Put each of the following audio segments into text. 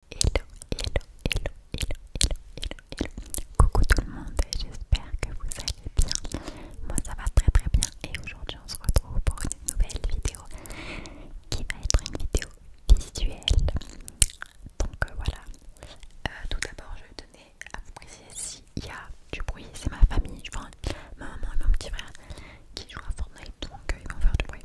Hello, hello, hello, hello, hello, hello, hello. Coucou tout le monde, et j'espère que vous allez bien. Moi ça va très très bien et aujourd'hui on se retrouve pour une nouvelle vidéo qui va être une vidéo visuelle. Donc euh, voilà. Euh, tout d'abord je vais donner à vous préciser s'il y a du bruit, c'est ma famille, je vois ma maman et mon petit frère qui jouent à Fortnite donc euh, ils vont faire du bruit.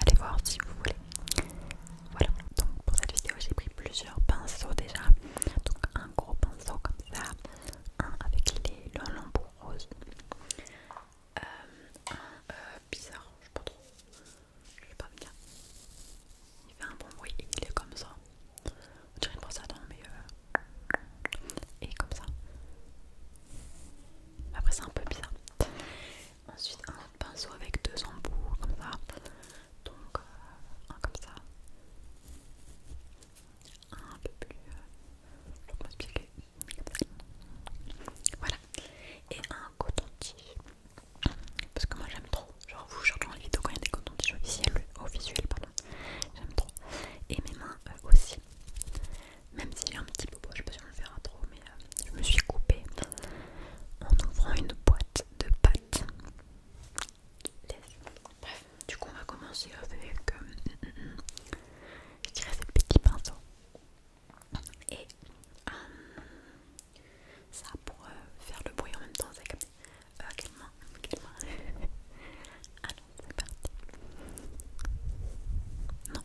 allez voir si vous voulez. Voilà, donc pour cette vidéo j'ai pris plusieurs pinceaux déjà. Donc un gros pinceau comme ça, un avec les, le lambeau rose, euh, un euh, bizarre, je sais pas trop, je sais pas bien. Il fait un bon bruit et il est comme ça. On dirait une brosse à mais... Euh, et comme ça. Après c'est un peu bizarre. Ensuite un pinceau avec deux embouts comme ça. Donc euh, un comme ça. Un peu plus. je euh, vais pas expliquer Voilà. Et un coton-tige. Parce que moi j'aime trop. Genre vous je dans les vidéos quand il y a des cotons-tiges officiels, visuel pardon. J'aime trop. Et mes mains euh, aussi même si j'ai un petit bobo, je ne sais pas si on le verra trop, mais euh, je me suis coupée en ouvrant une boîte de pâtes. Bref, du coup, on va commencer avec euh, je dirais ce petit pinceau. Et euh, ça pour faire le bruit en même temps, ça comme... Euh, quelle main, quelle c'est parti. Non.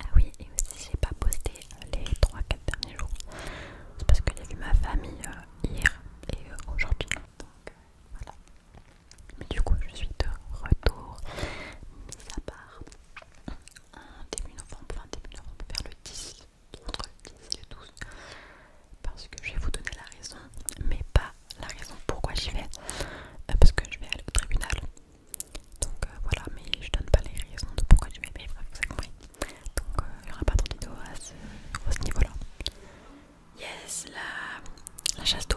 Ah oui, et aussi j'ai pas posté les 3-4 derniers jours parce que j'ai a ma famille euh, hier et euh, aujourd'hui. Donc euh, mais du coup, je suis de retour, mis à part un début novembre, enfin début novembre, vers le 10, entre le 10 et le 12, parce que je vais vous donner la raison, mais pas la raison pourquoi j'y vais, euh, parce que je vais aller au tribunal. Donc euh, voilà, mais je donne pas les raisons de pourquoi je vais, mais que vous avez compris. Donc euh, il n'y aura pas de vidéo à ce, niveau-là. Yes, la, la chasse d'eau.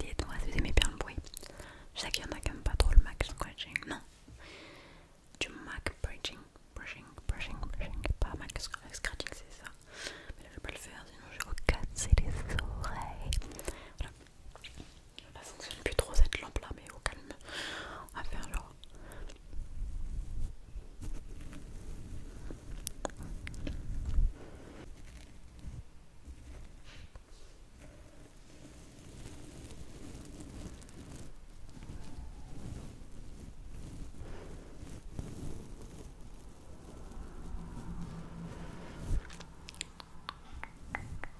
Dites-moi si vous aimez bien le bruit. Je sais qu'il y en a qui n'aiment pas trop le Mac Scratching, non. Du Mac Brushing, Brushing, Brushing, Brushing, pas Mac Scratching, c'est ça. Mais là je vais pas le faire, sinon je vais casser les oreilles. Voilà. Elle fonctionne plus trop cette lampe là, mais au calme. On va faire genre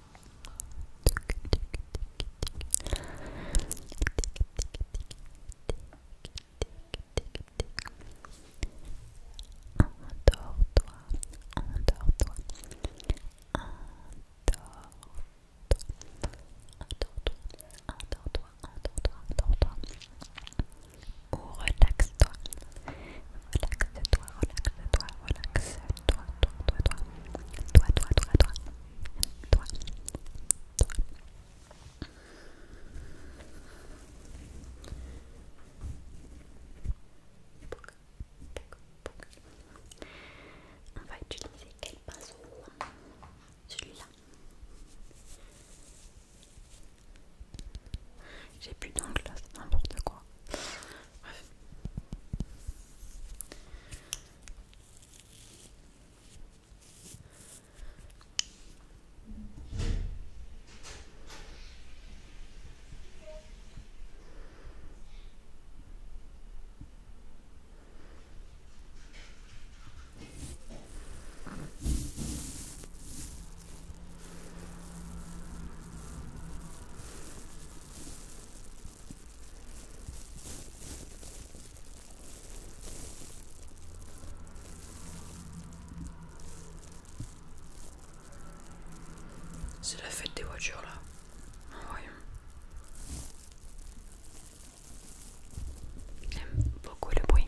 tic toi tic toi endors-toi, endors-toi, endors-toi, endors-toi, endors-toi, ou relaxe Relaxe-toi. Relaxe-toi, relaxe-toi, toi toi, toi, toi. Toi, toi, toi, toi. Toi. Toi. On va utiliser quel pinceau Celui-là. J'ai plus donc là, c'est n'importe quoi. C'est la fête des voitures là. Voyons. J'aime beaucoup le bruit.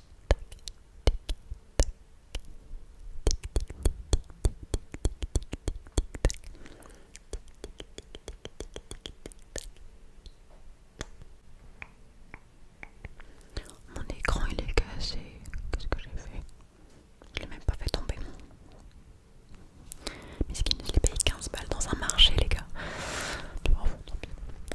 Mon écran il est cassé. Qu'est-ce que j'ai fait Je l'ai même pas fait tomber. Mais ce qu'il nous l'ai payé 15 balles dans un marché les gars. Tu vois, tant pis.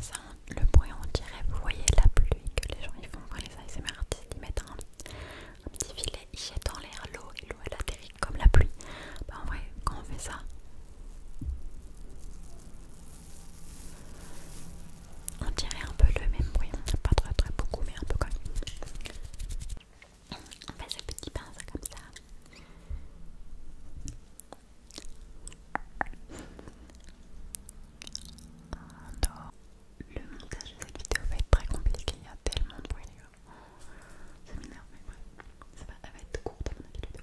Ça, le bruit, on dirait, vous voyez la pluie que les gens ils font quand les ASMR artistes, ils mettent un, petit filet, ils jettent en l'air l'eau et l'eau elle atterrit comme la pluie. Bah, en vrai, quand on fait ça, on dirait un peu le même bruit, pas très très beaucoup mais un peu comme On fait ces petit pince comme ça. Alors, le montage de cette vidéo va être très compliqué, il y a tellement de points. les gars. Ça va, être courte dans mon vidéo.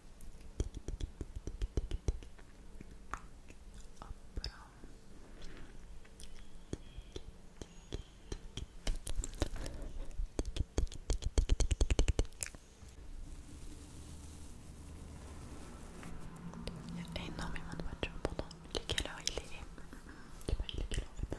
Il y a énormément de voitures pourtant. heure il est Je sais il est doit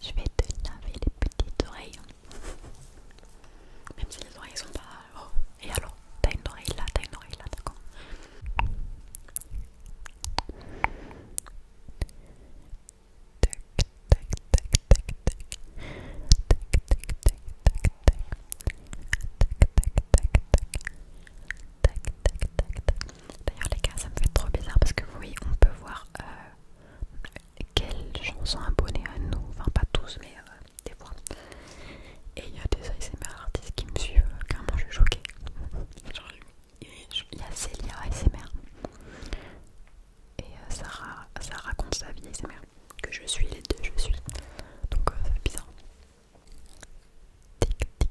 Je vais te laver les petites oreilles, même si les oreilles sont pas Oh, et alors T'as une oreille là, t'as une oreille là, d'accord Tac, tac, tac, tac, tac. Tac, tac, tac, tac, tac. Tac, tac, tac, tac. Tac, tac, tac, tac. D'ailleurs, les gars, ça me fait trop bizarre parce que oui, on peut voir euh, quelles chansons abonnées à nous. Enfin, pas tous, mais euh, des fois. Et il y a des ASMR artistes qui me suivent, carrément je suis choquée. Genre, il y a Célia ASMR et euh, Sarah, ça raconte sa vie ASMR, que je suis les deux, je suis. Donc euh, ça fait bizarre. Tic, tic, tic.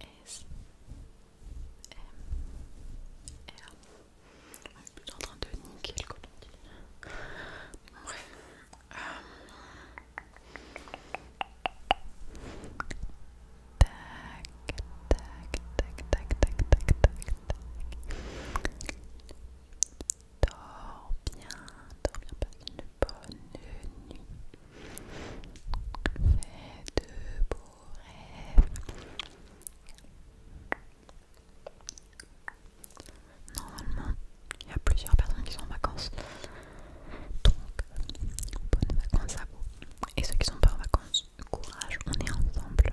A S M R On est plutôt en train de niquer comme on dit. Bref. Euh. tac, tac, tac, tac, tac, tac, tac. Dors bien, dors bien, passe une bonne nuit. Fais de beaux rêves. Normalement, il y a plusieurs personnes qui sont en vacances. Donc, bonnes vacances à vous. Et ceux qui sont pas en vacances, courage, on est ensemble.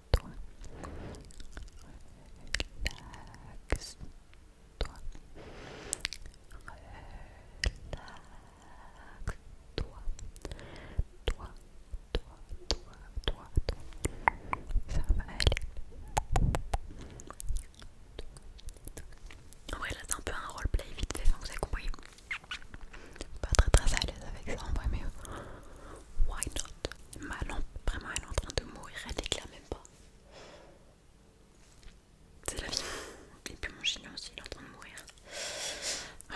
toi. toi. toi. Toi, toi, toi, toi, toi. Ça va aller. En vrai, là, c'est un peu un roleplay vite fait, ça, vous avez compris. Pas très très à l'aise avec ça en vrai, mais Why not lampe, vraiment, elle est en train de mourir, elle l'éclaire même pas. C'est la vie. Et puis mon chignon aussi, il est en train de mourir. ma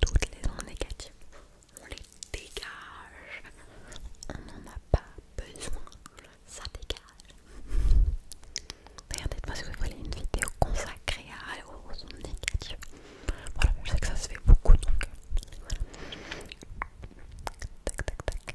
toutes les ondes négatives, on les dégage. On n'en a pas besoin. Ça dégage. Regardez dites-moi si vous voulez une vidéo consacrée à, aux ondes négatives. Voilà, je sais que ça se fait beaucoup donc. Euh, voilà. Tac, tac, tac.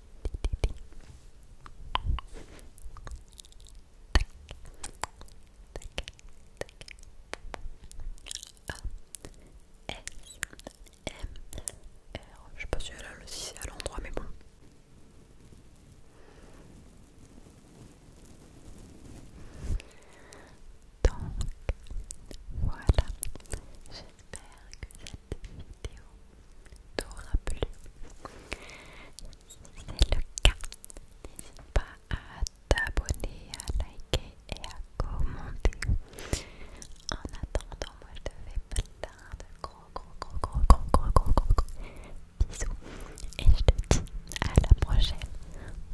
Je sais pas si elle a le 6 à l'endroit, mais bon. Donc voilà, j'espère que ça vidéo t'aura plu. Si c'est le cas, n'hésite pas à t'abonner, à liker et à commenter. En attendant, moi je te fais plein de gros gros gros gros gros gros gros gros, gros bisous et je te dis à la prochaine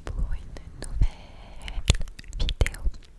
pour une nouvelle vidéo.